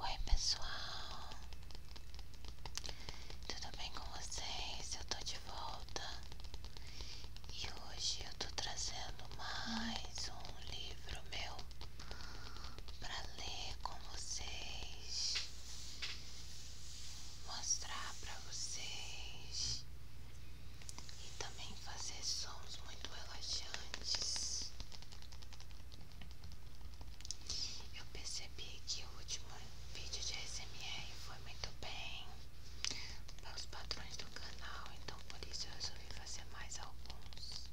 Oi pessoal, tudo bem com vocês? Eu tô de volta e hoje eu tô trazendo mais um livro meu para ler com vocês mostrar para vocês e também fazer sons muito relaxantes. Eu percebi que o último vídeo de SMR foi muito bem para os patrões do canal, então por isso eu resolvi fazer mais alguns.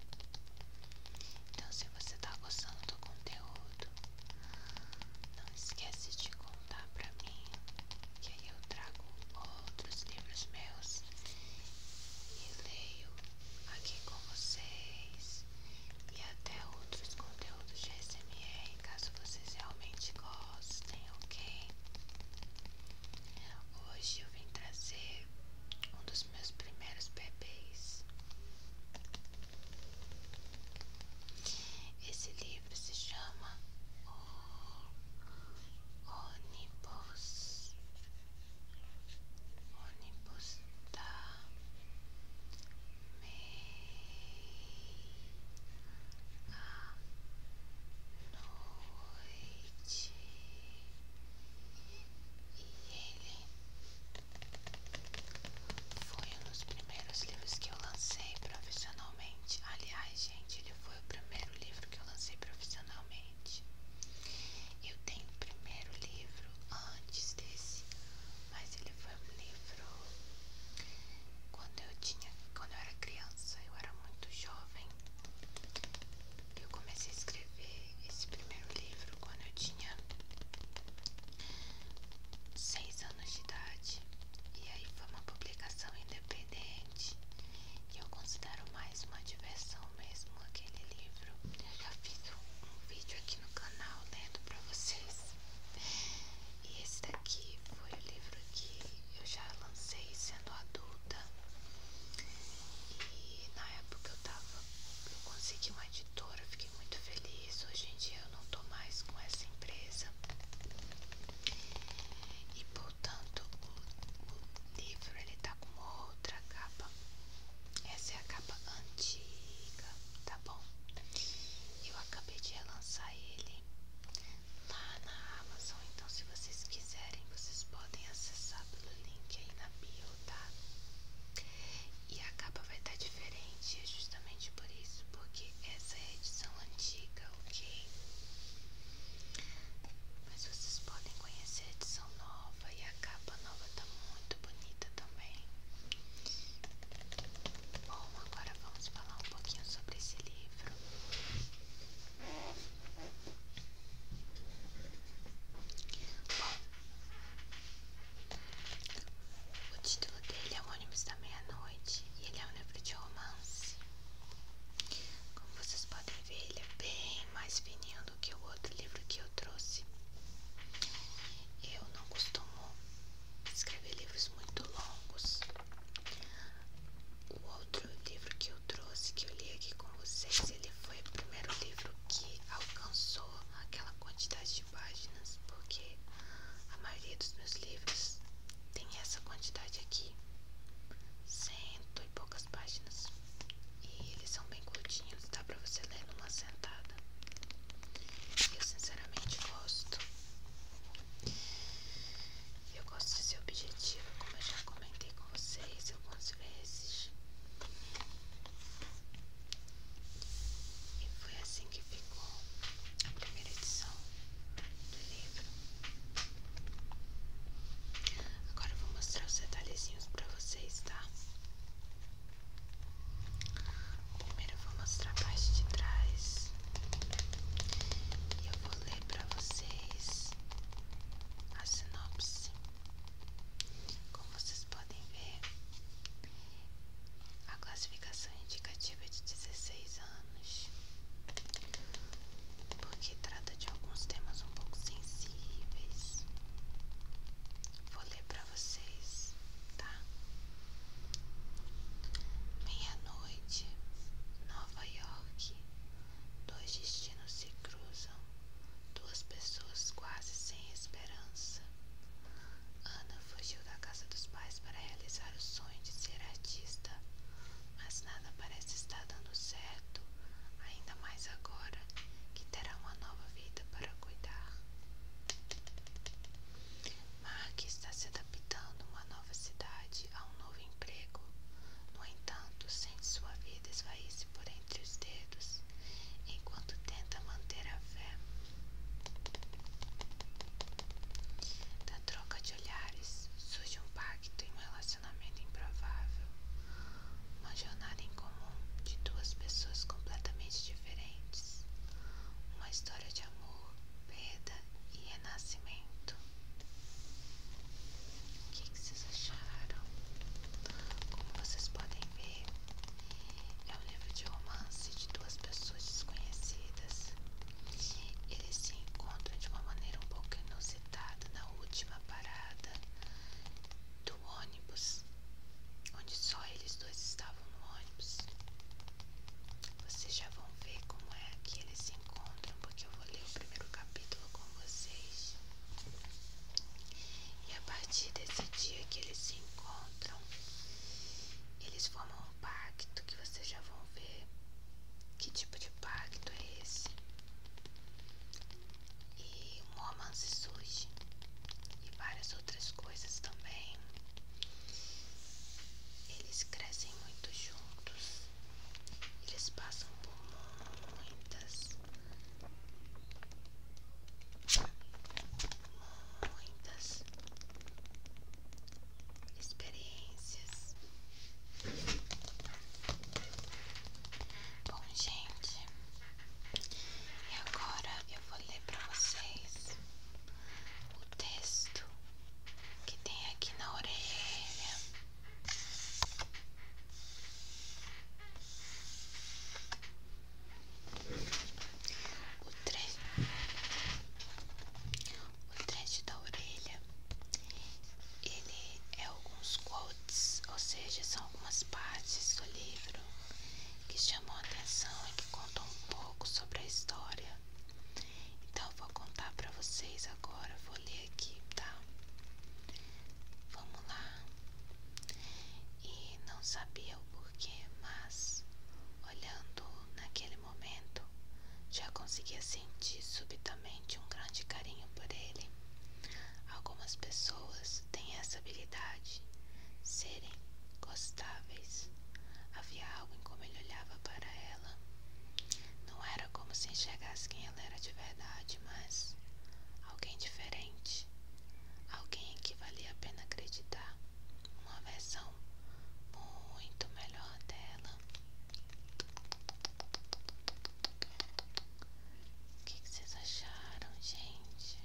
Então, se você está gostando do conteúdo, não esquece de contar pra mim, que eu trago outros livros meus e leio aqui com vocês e até outros conteúdos de SMR, caso vocês realmente gostem, ok? Hoje eu vim trazer um dos meus primeiros bebês. Esse livro se chama O Ônibus, Ônibus da Meia-Noite. E ele foi um dos primeiros livros que eu lancei profissionalmente. Aliás, gente, ele foi o primeiro livro que eu lancei profissionalmente. Eu tenho o primeiro livro antes desse, mas ele foi um livro quando eu tinha, quando eu era criança, eu era muito jovem. Eu comecei a escrever esse primeiro livro quando eu tinha seis anos de idade. E aí foi uma publicação independente. E eu considero mais uma diversão mesmo aquele livro. Eu já fiz um, vídeo aqui no canal lendo pra vocês. E esse daqui foi o livro que eu já lancei sendo adulta. E na época eu tava. Eu consegui uma editora, fiquei muito feliz. Hoje em dia eu não tô mais com essa empresa. E portanto o, livro ele tá com outra capa. Essa é a capa antiga, tá bom? Eu acabei de relançar ele lá na Amazon, então se vocês quiserem, vocês podem acessar pelo link aí na bio, tá? E a capa vai estar tá diferente, é justamente por isso, porque essa é a edição antiga, ok? Mas vocês podem conhecer a edição nova e a capa nova está muito bonita também. Bom, agora vamos falar um pouquinho sobre esse livro. Bom, o título dele é Homônimos da Mente noite e ele é um livro de romance. Como vocês podem ver, ele é bem mais fininho do que o outro livro que eu trouxe. Eu não costumo escrever livros muito longos. O outro livro que eu trouxe, que eu li aqui com vocês, ele foi o primeiro livro que alcançou aquela quantidade páginas, porque a maioria dos meus livros tem essa quantidade aqui, cento e poucas páginas, e eles são bem curtinhos, dá pra você ler numa sentada. Eu sinceramente gosto. Eu gosto de ser objetiva, como eu já comentei com vocês eu algumas vezes. E foi assim que ficou a primeira edição do livro. Agora eu vou mostrar os detalhezinhos para vocês, tá? Primeiro eu vou mostrar a parte de trás e eu vou ler para vocês a sinopse. Como vocês podem ver, a classificação é indicativa de 16 anos, porque trata de alguns temas um pouco sensíveis. Vou ler para vocês, tá? Meia-noite, Nova York. Dois destinos se cruzam, duas pessoas quase sem esperança. Ana fugiu da casa dos pais para realizar o sonho de ser artista, mas nada parece estar dando certo, ainda mais agora que terá uma nova vida para cuidar. Mark está se adaptando a uma nova cidade, a um novo emprego. No entanto, sente sua vida esvair-se por entre os dedos, enquanto tenta manter a fé da troca de olhares surge um pacto em um relacionamento improvável. Uma jornada em comum de duas pessoas completamente diferentes. Uma história de amor, perda e renascimento. O que vocês acharam? Como vocês podem ver, é um livro de romance de duas pessoas desconhecidas eles se encontram de uma maneira um pouco inusitada na última parada do ônibus, onde só eles dois estavam no ônibus. Vocês já vão ver como é que eles se encontram, porque eu vou ler o primeiro capítulo com vocês. E a partir desse dia que eles se encontram, eles formam pacto que vocês já vão ver que tipo de pacto é esse. E um romance surge. E várias outras coisas também. Eles crescem muito juntos. Eles passam por muitas. Muitas experiências. Bom, gente, e agora eu vou ler para vocês o texto que tem aqui na orelha o trecho da orelha, ele é alguns quotes, ou seja, são algumas partes do livro que chamam a atenção e que contam um pouco sobre a história. Então eu vou contar para vocês agora, vou ler aqui, tá? Vamos lá. E não sabia o porquê, mas olhando naquele momento, já conseguia sentir subitamente um grande carinho por ele. Algumas pessoas têm essa habilidade, serem gostáveis. Havia algo em como ele olhava para ela. Não era como se enxergasse quem ela era de verdade, mas alguém diferente, alguém em que valia a pena acreditar uma versão muito melhor dela. O que, vocês acharam, gente?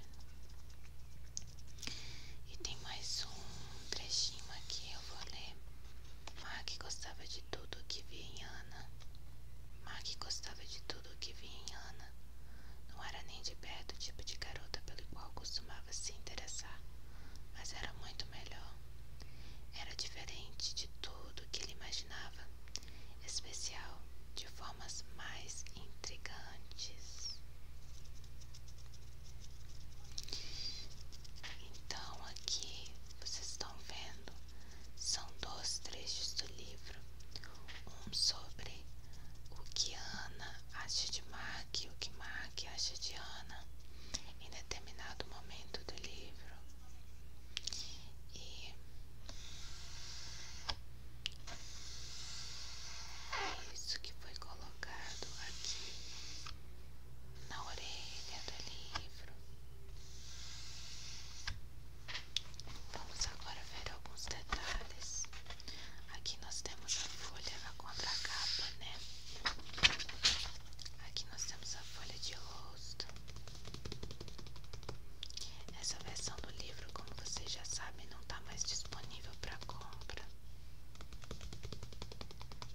E tem mais um trechinho aqui, eu vou ler. Mark gostava de tudo o que via em Ana. Mark gostava de tudo o que via em Ana. Não era nem de perto o tipo de garota pelo qual costumava se interessar, mas era muito melhor. Era diferente de tudo que ele imaginava, especial de formas mais intrigantes. Então, aqui vocês estão vendo, são dois trechos do livro: um sobre o que Ana acha de Mark e o que Mark acha de Ana em determinado momento do livro e é isso que foi colocado aqui na orelha do livro. Vamos agora ver alguns detalhes. Aqui nós temos a folha, a contracapa, né? Aqui nós temos a folha de rosto. Essa versão do livro, como vocês já sabem, não está mais disponível para compra.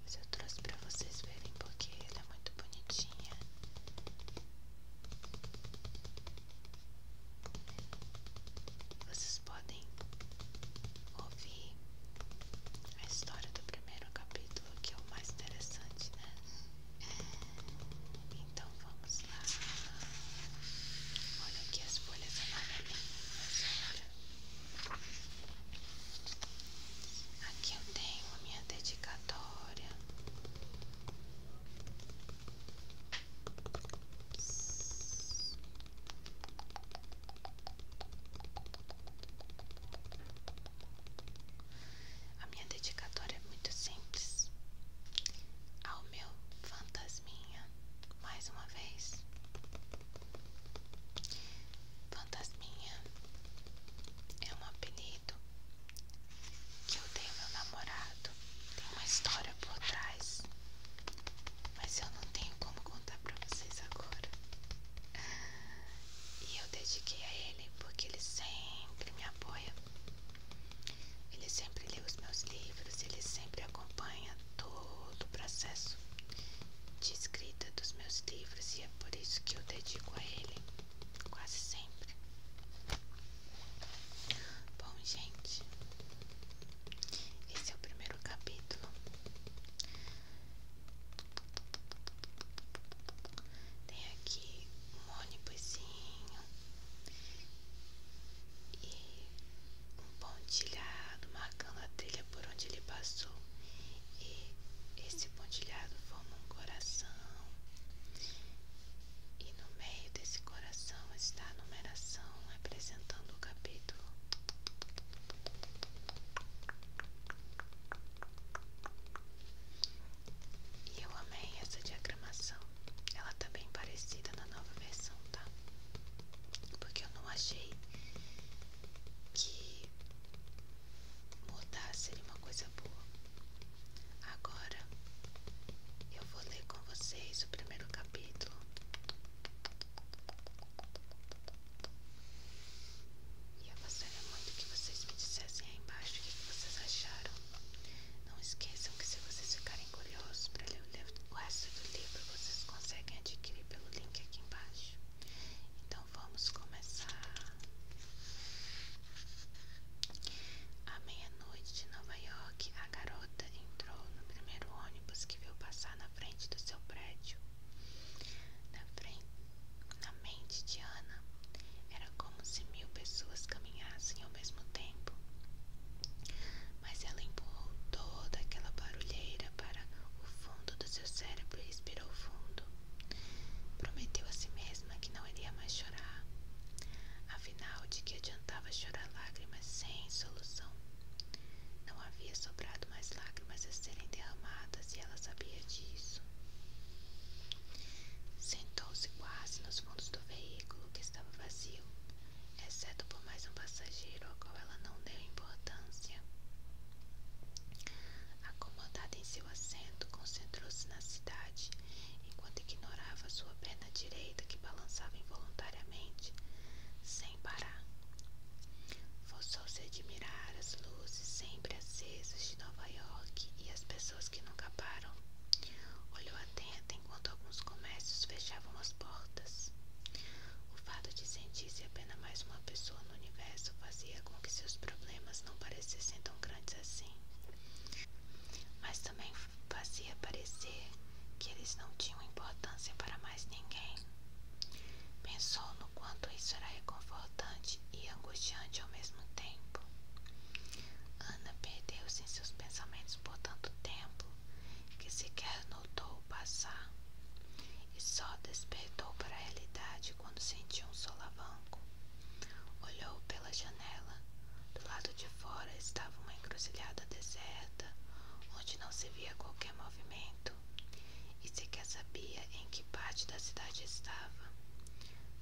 Mas eu trouxe para vocês verem porque ela é muito bonitinha. Vocês podem vi a história do primeiro capítulo, que é o mais interessante, né? É. Então vamos lá. Olha aqui as folhas amarelinhas, Aqui eu tenho a minha dedicatória. A minha dedicatória é muito simples. Ao meu fantasminha, mais uma vez. Fantasminha é um apelido que eu dei ao meu namorado. Tem uma história por trás, mas eu não tenho como vou contar pra vocês agora. E eu dediquei a ele porque ele sempre me apoia. Ele sempre lê os meus livros, ele sempre acompanha todo o processo de escrita dos meus livros e é por isso que eu dedico a ele quase sempre. Bom, gente, esse é o primeiro capítulo tem aqui um ônibusinho e um pontilhado marcando a trilha por onde ele passou. E esse pontilhado forma um coração. E no meio desse coração está a numeração representando o capítulo. E eu amei essa diagramação. Ela tá bem parecida na nova versão, tá? Porque eu não achei que mudar seria uma coisa boa. Agora eu vou ler com vocês o primeiro capítulo. E eu gostaria muito que vocês me dissessem aí embaixo o que, vocês acharam. Não esqueçam que se vocês ficarem curiosos para ler o resto do livro, vocês conseguem adquirir pelo link aqui embaixo. Então vamos começar. À meia-noite de Nova York, a garota entrou no primeiro ônibus que viu passar na frente do seu prédio. Na frente, na mente de Ana, era como se mil pessoas caminhassem ao mesmo tempo. Mas ela empurrou toda aquela barulheira para o fundo do seu cérebro e respirou fundo. Prometeu a si mesma que não iria mais chorar. Afinal, de que adiantava chorar lágrimas sem solução? Não havia sobrado mais lágrimas mas a serem derramadas e ela sabia disso. Sentou-se quase nos fundos do veículo que estava vazio, exceto por mais um passageiro ao qual ela não deu importância. Acomodada em seu assento, concentrou-se na cidade enquanto ignorava sua perna direita que balançava involuntariamente, sem parar forçou-se a admirar as luzes sempre acesas de Nova York e as pessoas que nunca param. Olhou atenta enquanto alguns comércios fechavam as portas. O fato de sentir-se apenas mais uma pessoa no universo fazia com que seus problemas não parecessem tão grandes assim. Mas também fazia parecer que eles não tinham importância para mais ninguém. Pensou no quanto isso era reconfortante e angustiante ao mesmo tempo. Ana perdeu-se em seus pensamentos por tanto tempo que sequer notou o passar e só despertou para a realidade quando sentiu um solavanco. Olhou pela janela. Do lado de fora estava uma encruzilhada deserta, onde não se via qualquer movimento marido e sequer sabia em que parte da cidade estava.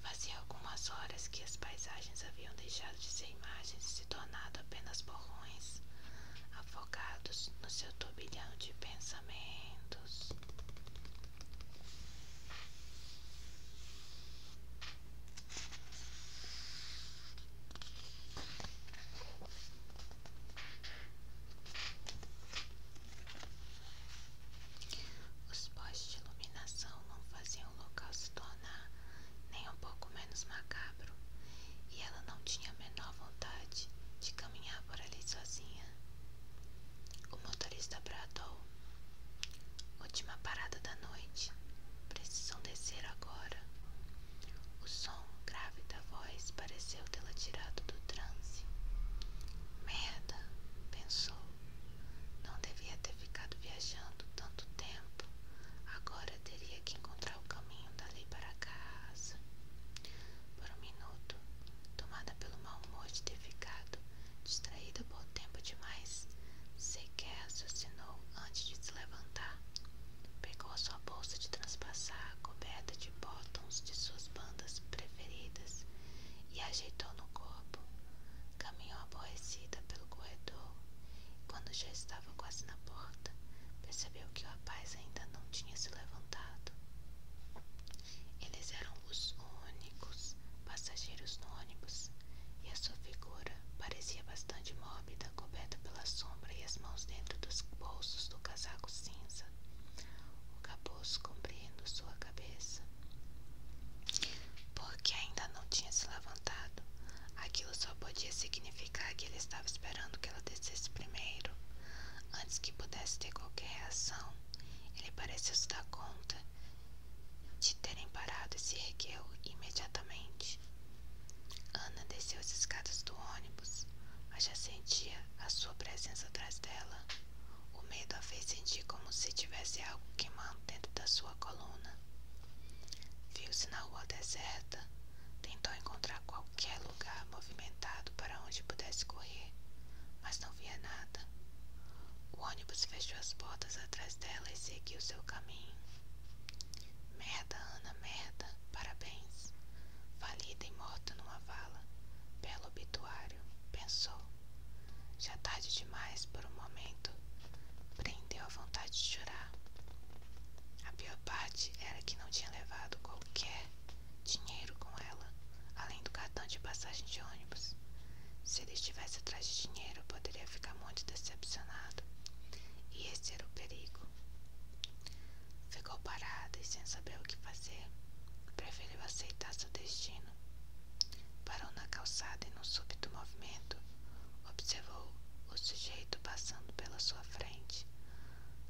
Fazia algumas horas que as paisagens haviam deixado de ser imagens e se tornado apenas borrões, afogados no seu turbilhão de pensamentos. Os postes de iluminação não faziam o local se tornar nem um pouco menos macabro, e ela não tinha a menor vontade de caminhar por ali sozinha. O motorista bradou: Última parada da noite. Precisam descer agora. O som grave da voz parecia aconteceu tê-la tirado do transe. Merda, pensou. Não devia ter ficado viajando tanto tempo. Agora teria que encontrar o caminho da lei para casa. Por um minuto, tomada pelo mau humor de ter ficado distraída por tempo demais, sequer raciocinou antes de se levantar. Pegou a sua bolsa de transpassar coberta de botões de suas bandas preferidas e ajeitou no corpo. Caminhou aborrecida pelo corredor quando já estava quase na porta, percebeu que o rapaz ainda não tinha se levantado. Eles eram os únicos passageiros no ônibus e a sua figura parecia bastante mórbida, coberta pela sombra e as mãos dentro dos bolsos do casaco cinza o capuz cobrindo sua cabeça. Porque ainda não tinha se levantado, aquilo só podia significar que ele estava esperando que ela descesse primeiro. Antes que pudesse ter qualquer reação, ele pareceu se dar conta de terem parado e se ergueu imediatamente. Ana desceu as escadas do ônibus, mas já sentia a sua presença atrás dela. O medo a fez sentir como se tivesse algo queimando dentro da sua coluna. Viu-se na rua deserta, tentou encontrar qualquer lugar movimentado para onde pudesse correr, mas não via nada. O ônibus fechou as portas atrás dela e seguiu seu caminho. Merda, Ana, merda, parabéns. Falida e morta numa vala. Belo obituário, pensou. Já é tarde demais por um momento, prendeu a vontade de chorar. A pior parte era que não tinha levado qualquer dinheiro com ela, além do cartão de passagem de ônibus. Se ele estivesse atrás de dinheiro, poderia ficar muito decepcionado. E esse era o perigo. Ficou parada e sem saber o que fazer, preferiu aceitar seu destino Parou na calçada e, num súbito movimento, observou o sujeito passando pela sua frente.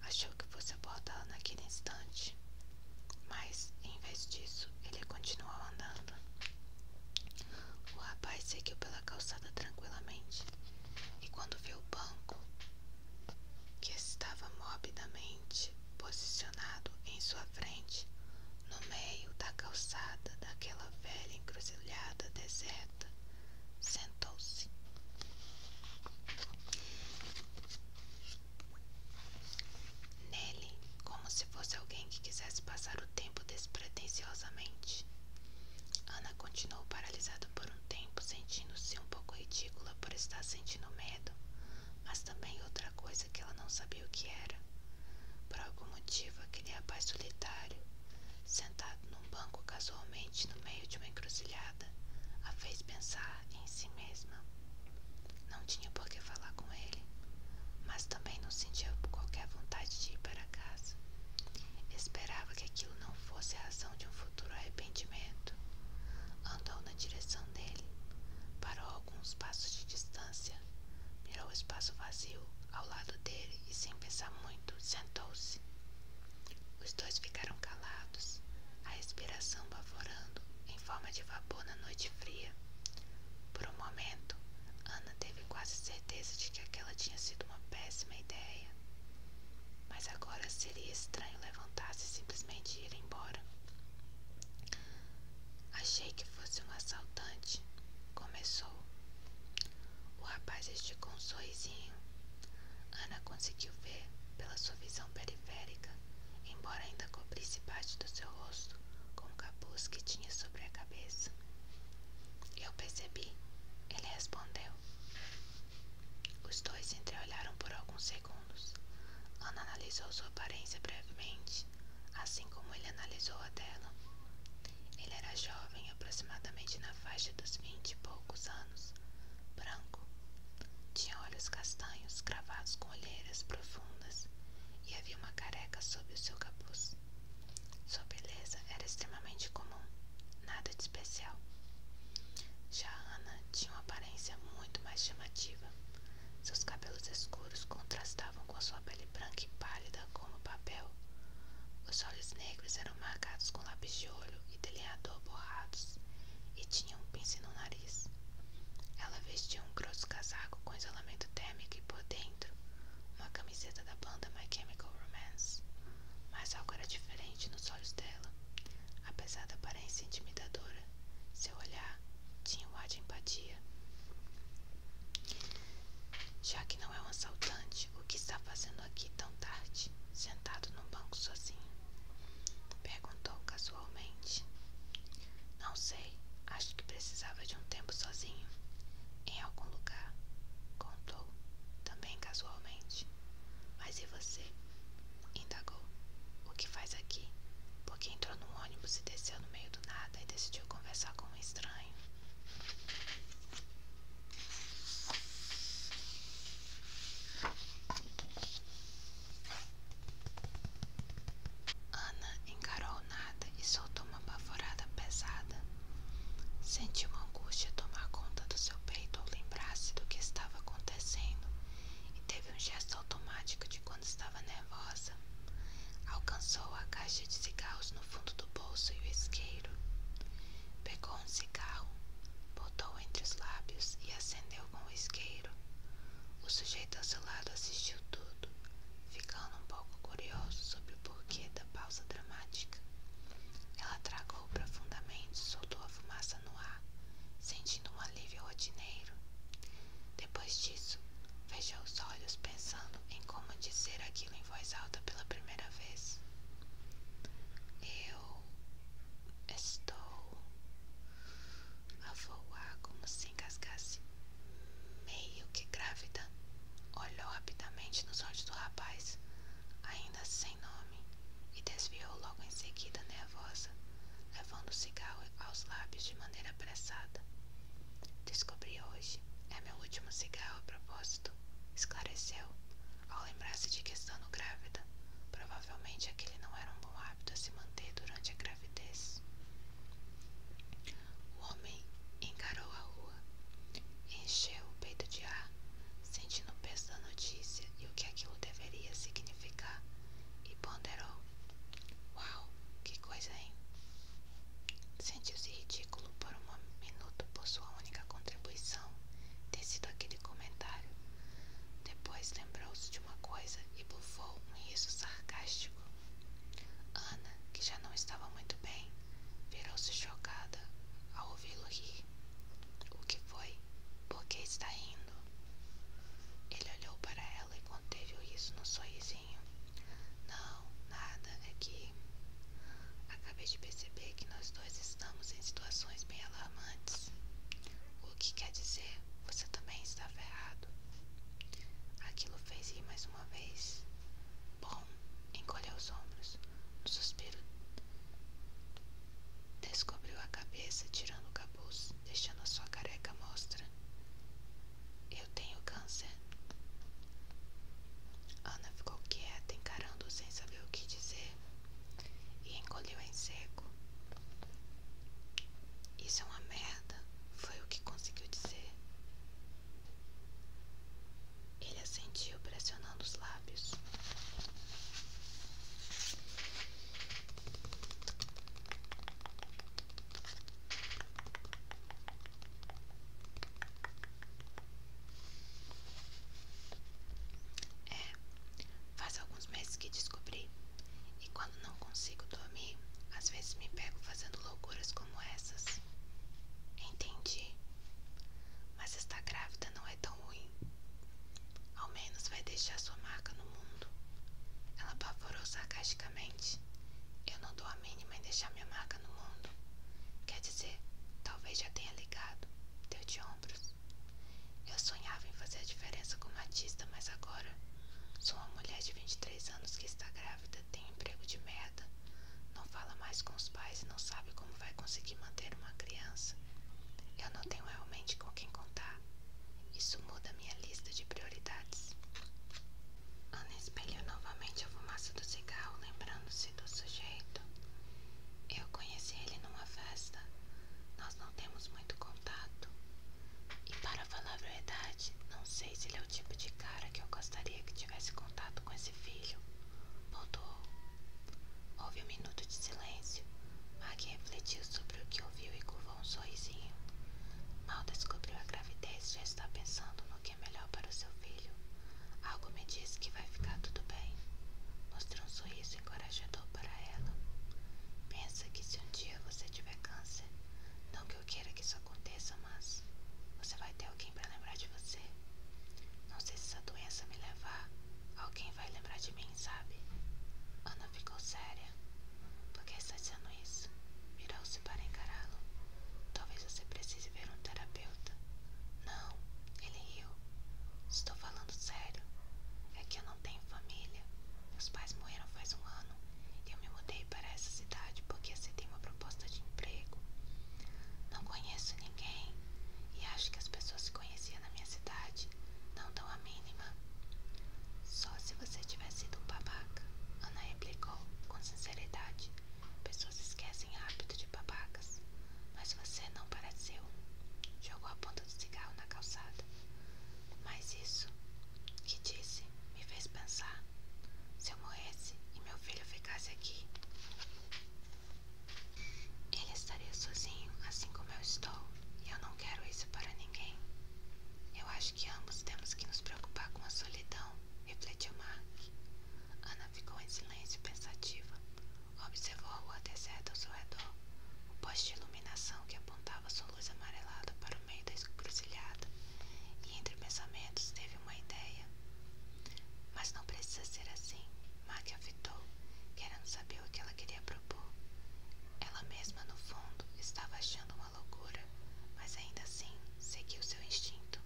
Achou que fosse abordá-lo naquele instante, mas, em vez disso, ele continuou andando. O rapaz seguiu pela calçada tranquilamente e, quando viu o banco, que estava morbidamente posicionado em sua frente, no meio da calçada daquela velha encruzilhada deserta, sentou-se. Nele, como se fosse alguém que quisesse passar o tempo despretensiosamente, Ana continuou paralisada por um tempo, sentindo-se um pouco ridícula por estar sentindo medo, mas também outra outra coisa que ela não sabia o que era. Por algum motivo, aquele rapaz solitário, sentado num banco casualmente no meio de uma encruzilhada, a fez pensar em si mesma. Não tinha por que falar com ele, mas também não sentia qualquer vontade de ir para casa. Esperava que aquilo não fosse a razão de um futuro arrependimento. Andou na direção dele, parou alguns passos de distância. Mirou o espaço vazio ao lado dele e, sem pensar muito, sentou-se. Os dois ficaram calados, a respiração baforando em forma de vapor na noite fria. Por um momento, Ana teve quase certeza de que aquela tinha sido uma péssima ideia. Mas agora seria estranho levantar-se e simplesmente ir embora. Achei que fosse um assaltante, começou. O rapaz esticou um sorrisinho. Ana conseguiu ver, pela sua visão periférica, embora ainda cobrisse parte do seu rosto com o capuz que tinha sobre a cabeça. Eu percebi, ele respondeu. Os dois se entreolharam por alguns segundos segundos. Ana analisou sua aparência brevemente, assim como ele analisou a dela. Ele era jovem, aproximadamente na faixa dos vinte e poucos anos, branco. Tinha olhos castanhos cravados com olheiras profundas e havia uma careca sob o seu capuz. Sua beleza era extremamente comum, nada de especial. Já Ana tinha uma aparência muito mais chamativa, seus cabelos escuros contrastavam com sua pele branca e pálida como papel. Os olhos negros eram marcados com lápis de olho e delineador borrados, e tinham um pince no nariz. Ela vestia um grosso casaco com isolamento térmico e por dentro uma camiseta da banda My Chemical Romance. Mas algo era diferente nos olhos dela. Apesar da aparência intimidadora, seu olhar tinha um ar de empatia. Já que não é um assaltante, o que está fazendo aqui tão tarde, sentado num banco sozinho? Perguntou casualmente. Não sei, acho que precisava de um tempo sozinho, em algum lugar, contou, também casualmente. Mas e você? Indagou. O que faz aqui? Por Porque entrou no no ônibus e desceu no meio do nada e decidiu conversar com um estranho. Ana encarou nada e soltou uma baforada pesada. Sentiu uma angústia tomar conta do seu peito ao lembrar-se do que estava acontecendo e teve um gesto automático de quando estava nela nervosa. Alcançou a caixa de cigarros no fundo do bolso e o isqueiro. Pegou um cigarro, botou entre os lábios e acendeu com o isqueiro. O sujeito ao seu lado assistiu tudo, ficando um pouco curioso sobre o porquê da pausa dramática. Ela tragou profundamente, soltou a fumaça no ar, sentindo um alívio rotineiro. Depois disso, Fechou os olhos pensando em como dizer aquilo em voz alta pela primeira vez. Eu estou a voar como se engasgasse, meio que grávida. Olhou rapidamente nos olhos do rapaz, ainda sem nome, e desviou logo em seguida, nervosa, levando o cigarro aos lábios de maneira apressada. Descobri hoje. É meu último cigarro a propósito, esclareceu, ao lembrar-se de que estando grávida, provavelmente aquele não era um bom hábito a se manter durante a gravidez. O homem encarou a rua, encheu o peito de ar, sentindo o peso da notícia e o que aquilo deveria significar, e ponderou Uau, que coisa, hein? Sentiu-se ridículo por um minuto por sua única contribuição ter sido aquele comentário. Depois lembrou-se de uma coisa e bufou um riso sarcástico. Ana, que já não estava muito bem, virou-se chocada ao ouvi-lo rir. O que foi? Por que está rindo? Ele olhou para ela e conteve o riso no sorriso não, nada aqui. É acabei de perceber que nós dois estamos em situações bem alarmantes. O que quer dizer, você também está ferrado. Aquilo fez rir mais uma vez. Bom, encolheu os ombros. No suspiro, descobriu a cabeça tirando o capuz deixando a sua careca mostra. Eu tenho câncer. Ana ficou quieta, encarando sem saber o que dizer, e encolheu em seco. Isso é uma merda, foi o que conseguiu dizer. Ele assentiu, pressionando os lábios. É, faz alguns meses que descobri. E quando não consigo dormir, às vezes me pego fazendo loucuras como essas. Entendi. Mas estar grávida não é tão ruim. Ao menos vai deixar sua marca no mundo. Ela apavorou sarcasticamente. Mas eu não dou a mínima em deixar minha marca no mundo. Quer dizer, talvez já tenha ligado. Deu de ombros. Eu sonhava em fazer a diferença como artista, mas agora sou uma mulher de 23 anos que está grávida, tem emprego de merda, não fala mais com os pais e não sabe como vai conseguir manter uma criança. Eu não tenho realmente com quem contar. Isso muda minha lista de prioridades. Ana espelhou novamente a fumaça do cigarro, lembrando-se do sujeito. Eu conheci ele numa festa. Nós não temos muito contato. E para falar a verdade, não sei se ele é o tipo de cara que eu gostaria que tivesse contato com esse filho. Voltou. Houve um minuto de silêncio. Maggie refletiu sobre o que ouviu e curva um sorrisinho. Mal descobriu a gravidez, já está pensando no que é melhor para o seu filho. Algo me diz que vai ficar tudo bem. Mostrou um sorriso encorajador para ela. Pensa que se um dia você tiver câncer, não que eu queira que isso aconteça, mas você vai ter alguém para lembrar de você. Não sei se essa doença me levar, alguém vai lembrar de mim, sabe? Ana ficou séria, porque essa semana anões virou-se para encará-lo. Talvez você precise ver um terapeuta. Não, ele riu. É Estou falando sério. É que eu não tenho família. Meus pais morreram faz um ano e eu me mudei para essa cidade porque aceitei uma proposta de emprego. Não conheço ninguém e acho que as pessoas que conhecia na minha cidade não dão a mínima. Só se você tivesse sido um babaca, Ana replicou com sinceridade. Pessoas esquecem rápido de babacas, mas você não pareceu. Jogou a ponta do cigarro na calçada. Mas isso que disse me fez pensar. Se eu morresse e meu filho ficasse aqui, ele estaria sozinho, assim como eu estou, e eu não quero isso para ninguém. Eu acho que ambos temos que nos preocupar com a solidão, refletiu Mark. Ana ficou em silêncio pensativa. Observou a rua deserta ao seu redor, o poste de iluminação que apontava sua luz amarelada para o meio da encruzilhada, e entre pensamentos teve uma ideia. Mas não precisa ser assim, Mark afitou, querendo saber o que ela queria propor. Ela mesma, no fundo, estava achando uma loucura, mas ainda assim seguiu seu instinto.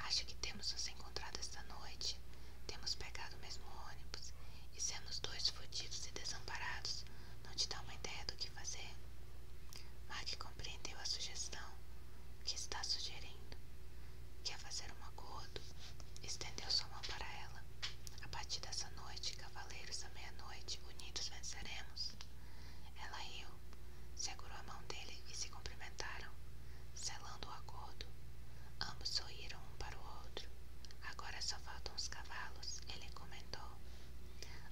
Acho que temos nos encontrado esta noite, temos pegado o mesmo ônibus e sermos dois fodidos e desamparados não te dá uma ideia do que fazer? Mark compreendeu a sugestão O que está sugerindo. Quer fazer um acordo? Estendeu sua mão para ela. A partir dessa noite, cavaleiros à meia-noite, unidos venceremos. Ela riu, segurou a mão dele e se cumprimentaram, selando o acordo. Ambos sorriram um para o outro. Agora só faltam os cavalos, ele comentou.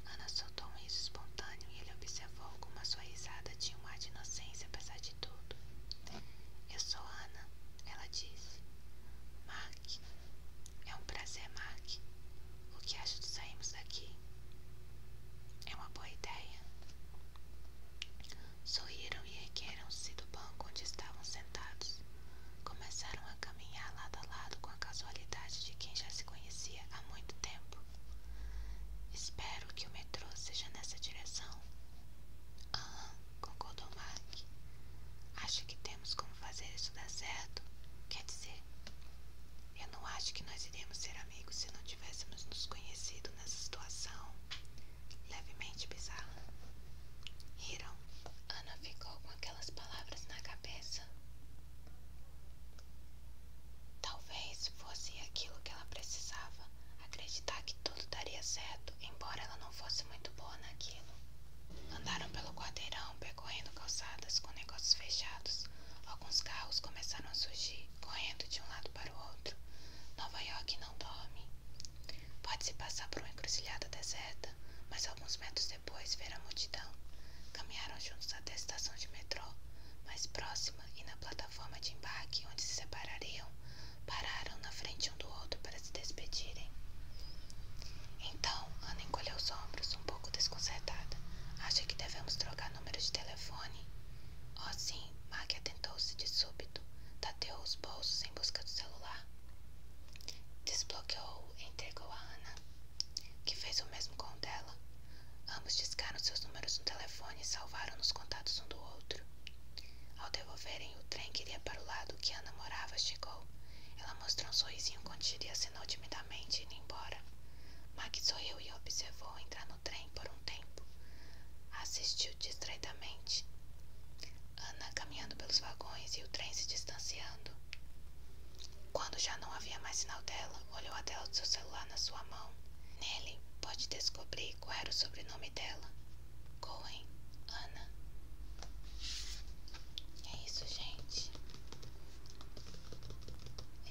Ana soltou um riso espontâneo e ele observou como a sua risada tinha um ar de inocência apesar de tudo. Eu sou Ana, ela disse. Mark, é um prazer, Mark. O que acha de sairmos daqui? É uma boa ideia. Sorriram e ergueram-se do banco onde estavam sentados. Começaram a caminhar lado a lado com a casualidade de quem já se conhecia há muito tempo. Espero que o metrô seja nessa direção. Aham, concordou Mark. Acho que temos como fazer isso dar certo. Quer dizer, eu não acho que nós iríamos ser amigos se não tivéssemos nos conhecido nessa situação levemente bizarra. Riram. Ana ficou com aquelas palavras na cabeça. Talvez fosse aquilo que ela precisava, acreditar que tudo daria certo, embora ela não fosse muito boa naquilo. Andaram pelo quarteirão correndo calçadas com negócios fechados. Alguns carros começaram a surgir, correndo de um lado para o outro. Nova York não dorme. Pode-se passar por uma encruzilhada deserta, mas alguns metros depois ver a multidão. Caminharam juntos até a estação de metrô, mais próxima e na plataforma de embarque onde se separariam, pararam na frente um do outro para se despedirem. Então, Ana encolheu os ombros, um pouco desconcertada. Acho que devemos trocar número de telefone? Oh, sim, Mac atentou-se de súbito. Tateou os bolsos em busca do celular. Desbloqueou-o e entregou a Ana, que fez o mesmo com o dela. Ambos discaram seus números no telefone e salvaram nos contatos um do outro. Ao devolverem, o trem que iria para o lado que Ana morava chegou. Ela mostrou um sorrisinho contido e acenou timidamente e indo embora. Mac sorriu e observou entrar no trem por um tempo. Assistiu distraidamente. Ana caminhando pelos vagões e o trem se distanciando. Quando já não havia mais sinal dela, olhou a tela do seu celular na sua mão. Nele, pode descobrir qual era o sobrenome dela. Cohen, Ana. É isso, gente.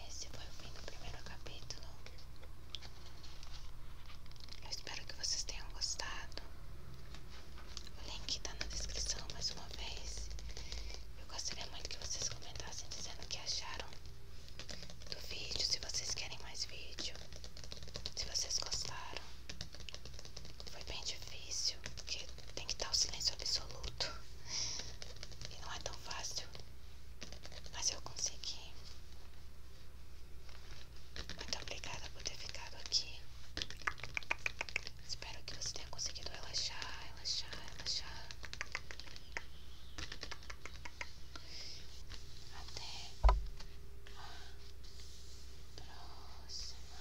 Esse foi o fim do primeiro capítulo. Eu espero que vocês tenham gostado. O link tá na descrição mais uma vez. Eu gostaria muito que vocês comentassem dizendo o que acharam do vídeo, se vocês querem mais vídeo, se vocês gostaram. Foi bem difícil, porque tem que estar o silêncio absoluto. E não é tão fácil mas eu consegui. Muito obrigada por ter ficado aqui. Espero que você tenha conseguido relaxar, relaxar, relaxar. Até a próxima.